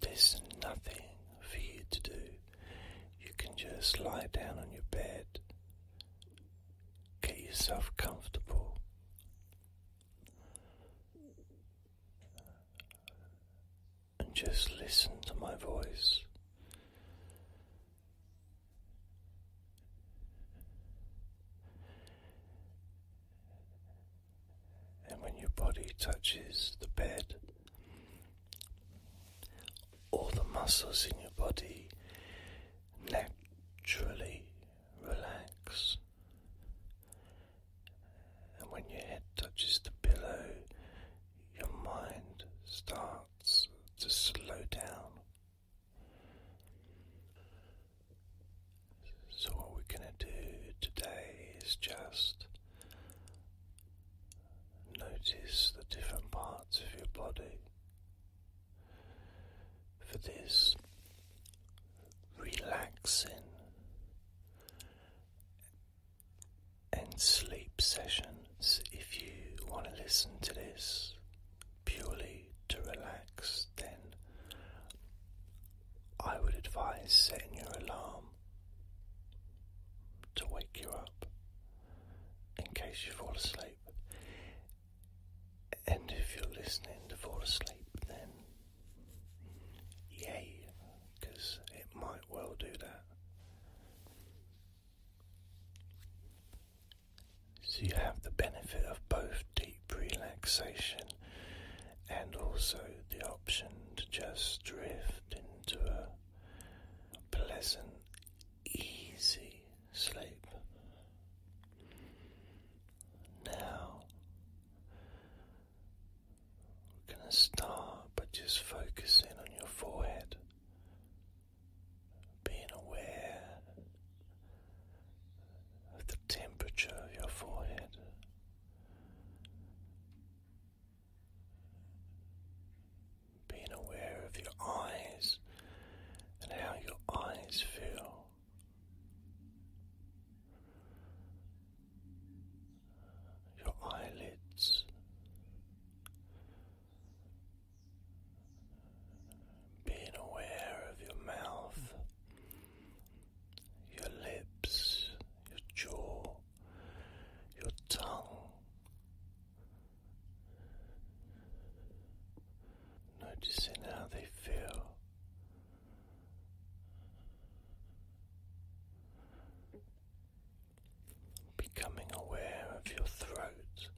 There's nothing for you to do. You can just lie down on your bed, get yourself comfortable. And just listen to my voice and when your body touches the bed, all the muscles in your body naturally relax. And when your head touches the pillow, your mind starts to slow down. So, what we're going to do today is just notice the different parts of your body. For this relaxing and sleep sessions, if you want to listen to this purely to relax, then I would advise setting your alarm to wake you up in case you fall asleep. And if you're listening to fall asleep, then yeah, because it might well do that. So you have the benefit of both deep relaxation and also the option to just drift into a pleasant, easy sleep. Now, we're going to start by just focusing on your forehead, being aware of the temperature of your forehead. Being aware of your eyes and how your eyes feel. Your eyelids being aware of your mouth your lips, your jaw, your tongue. Noticing how they feel. Becoming aware of your throat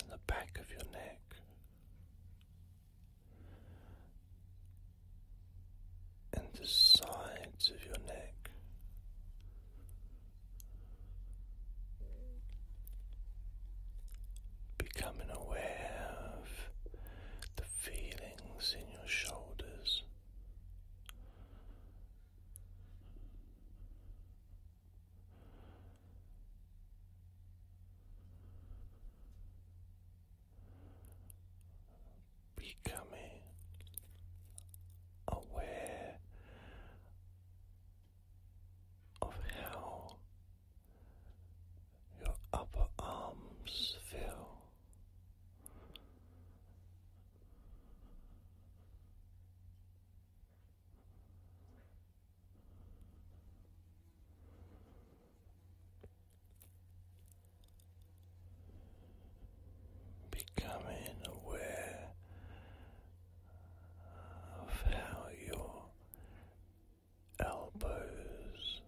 and the back of your neck and the sides of your neck. Becoming aware of the feelings in your shoulders, Becoming aware of how your upper arms feel. Becoming aware of how your elbows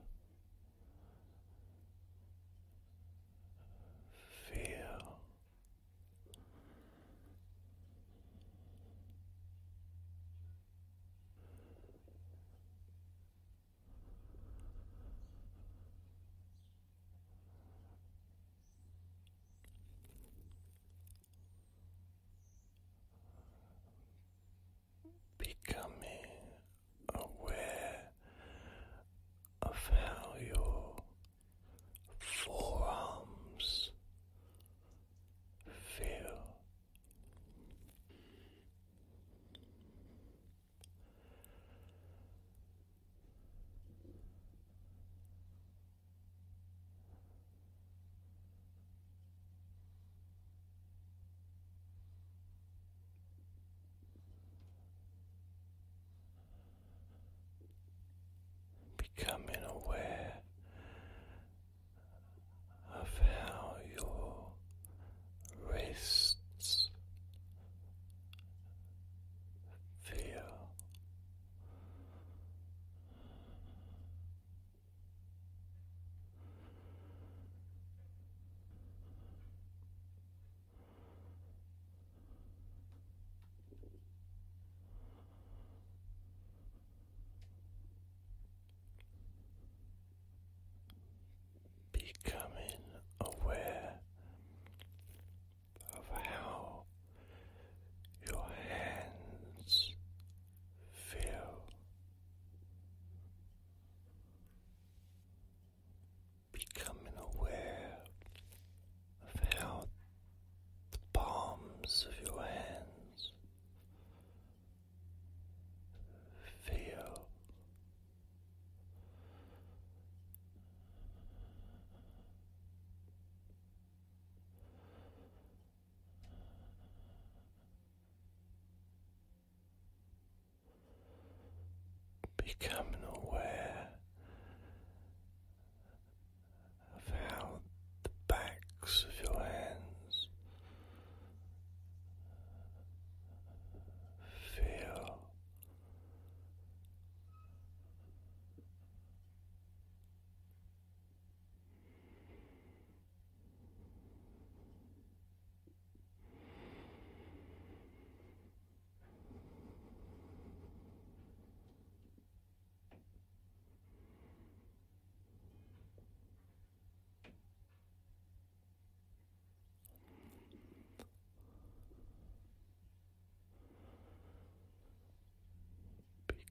feel. Becoming aware of how your forearms feel. Becoming aware of how your wrists feel. Becoming aware of how your hands feel, becoming aware of how the palms of your hands feel becoming aware of how the backs of your hands feel.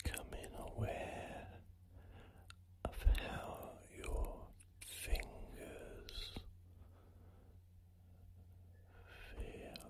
Becoming aware of how your fingers feel.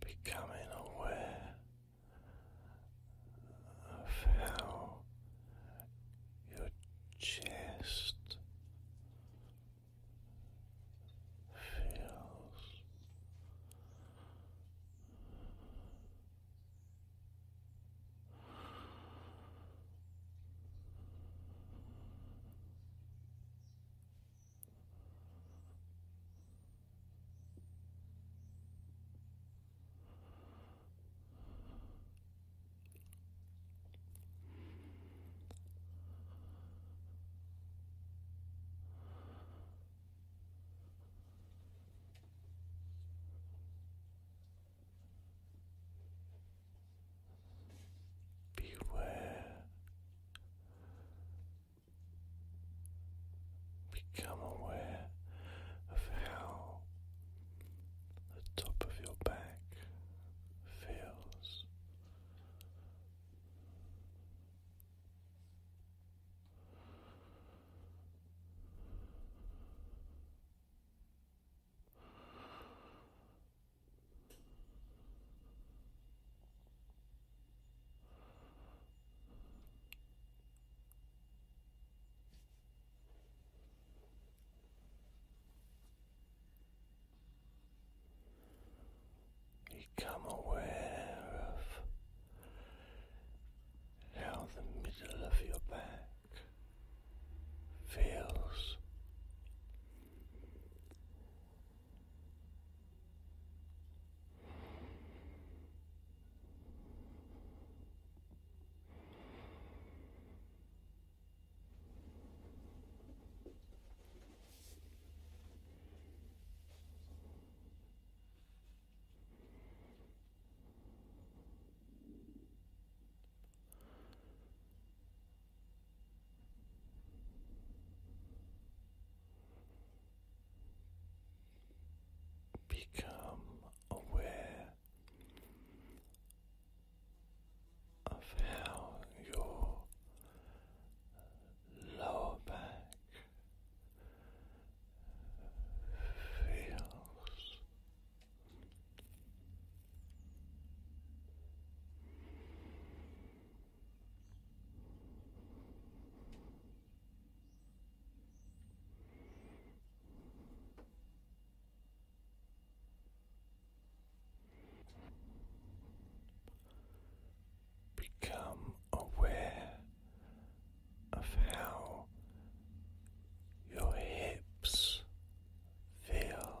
Becoming aware of how your chest feels. Beware, become aware of how the top of your back feels. Become aware of how the middle of your back feels. Become aware of how your lower back feels. Become aware of how your hips feel.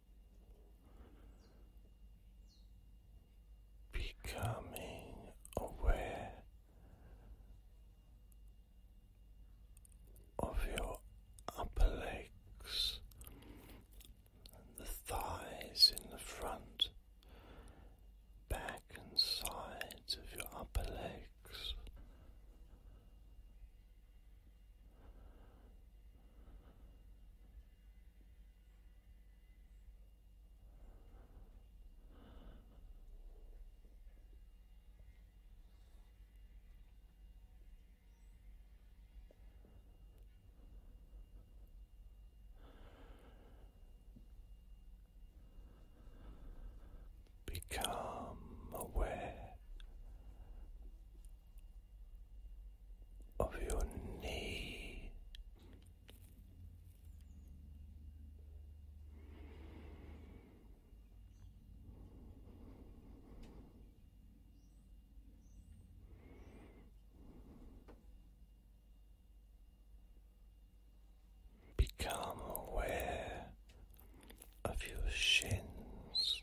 becoming aware of your upper legs and the thighs in the front, back and sides of your upper legs. Become aware of your knee. Become aware of your shins,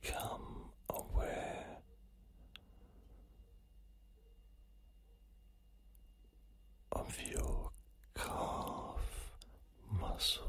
Become aware of your calf muscles.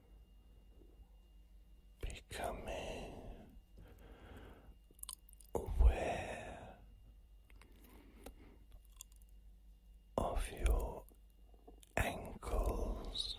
becoming aware of your ankles.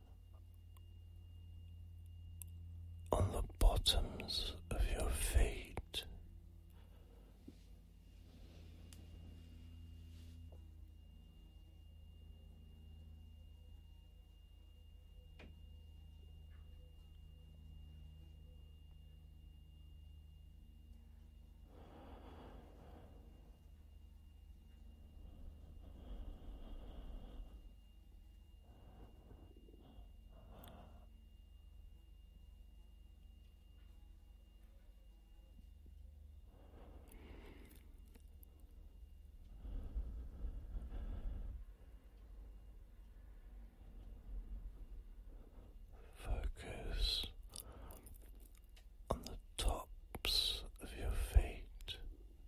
on the bottoms of your feet. Focus on the tops of your feet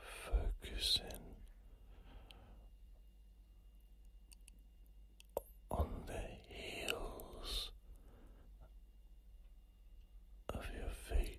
Focusing on the heels of your feet.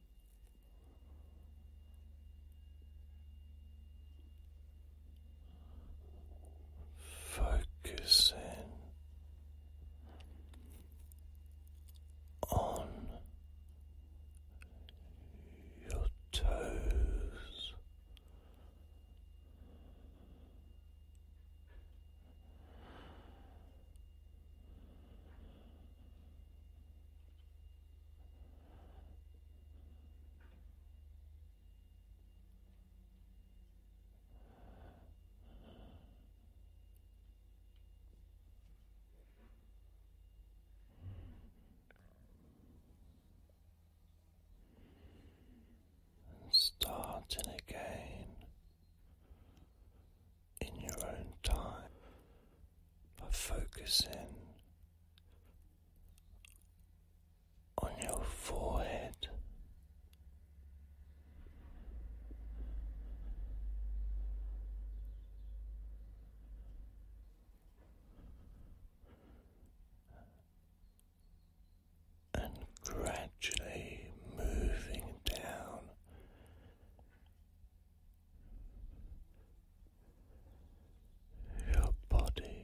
Focusing on your toes, and starting again in your own time by focusing on your forehead. And gradually moving down your body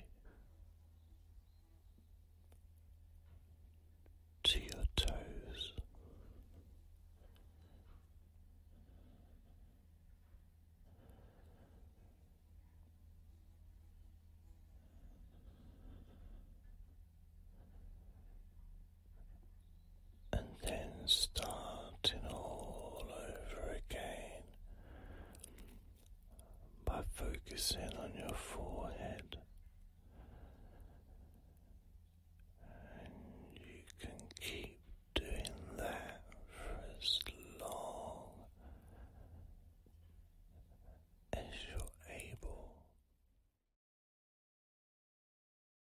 to your toes and then starting all over again by focusing on your forehead. And you can keep doing that for as long as you're able.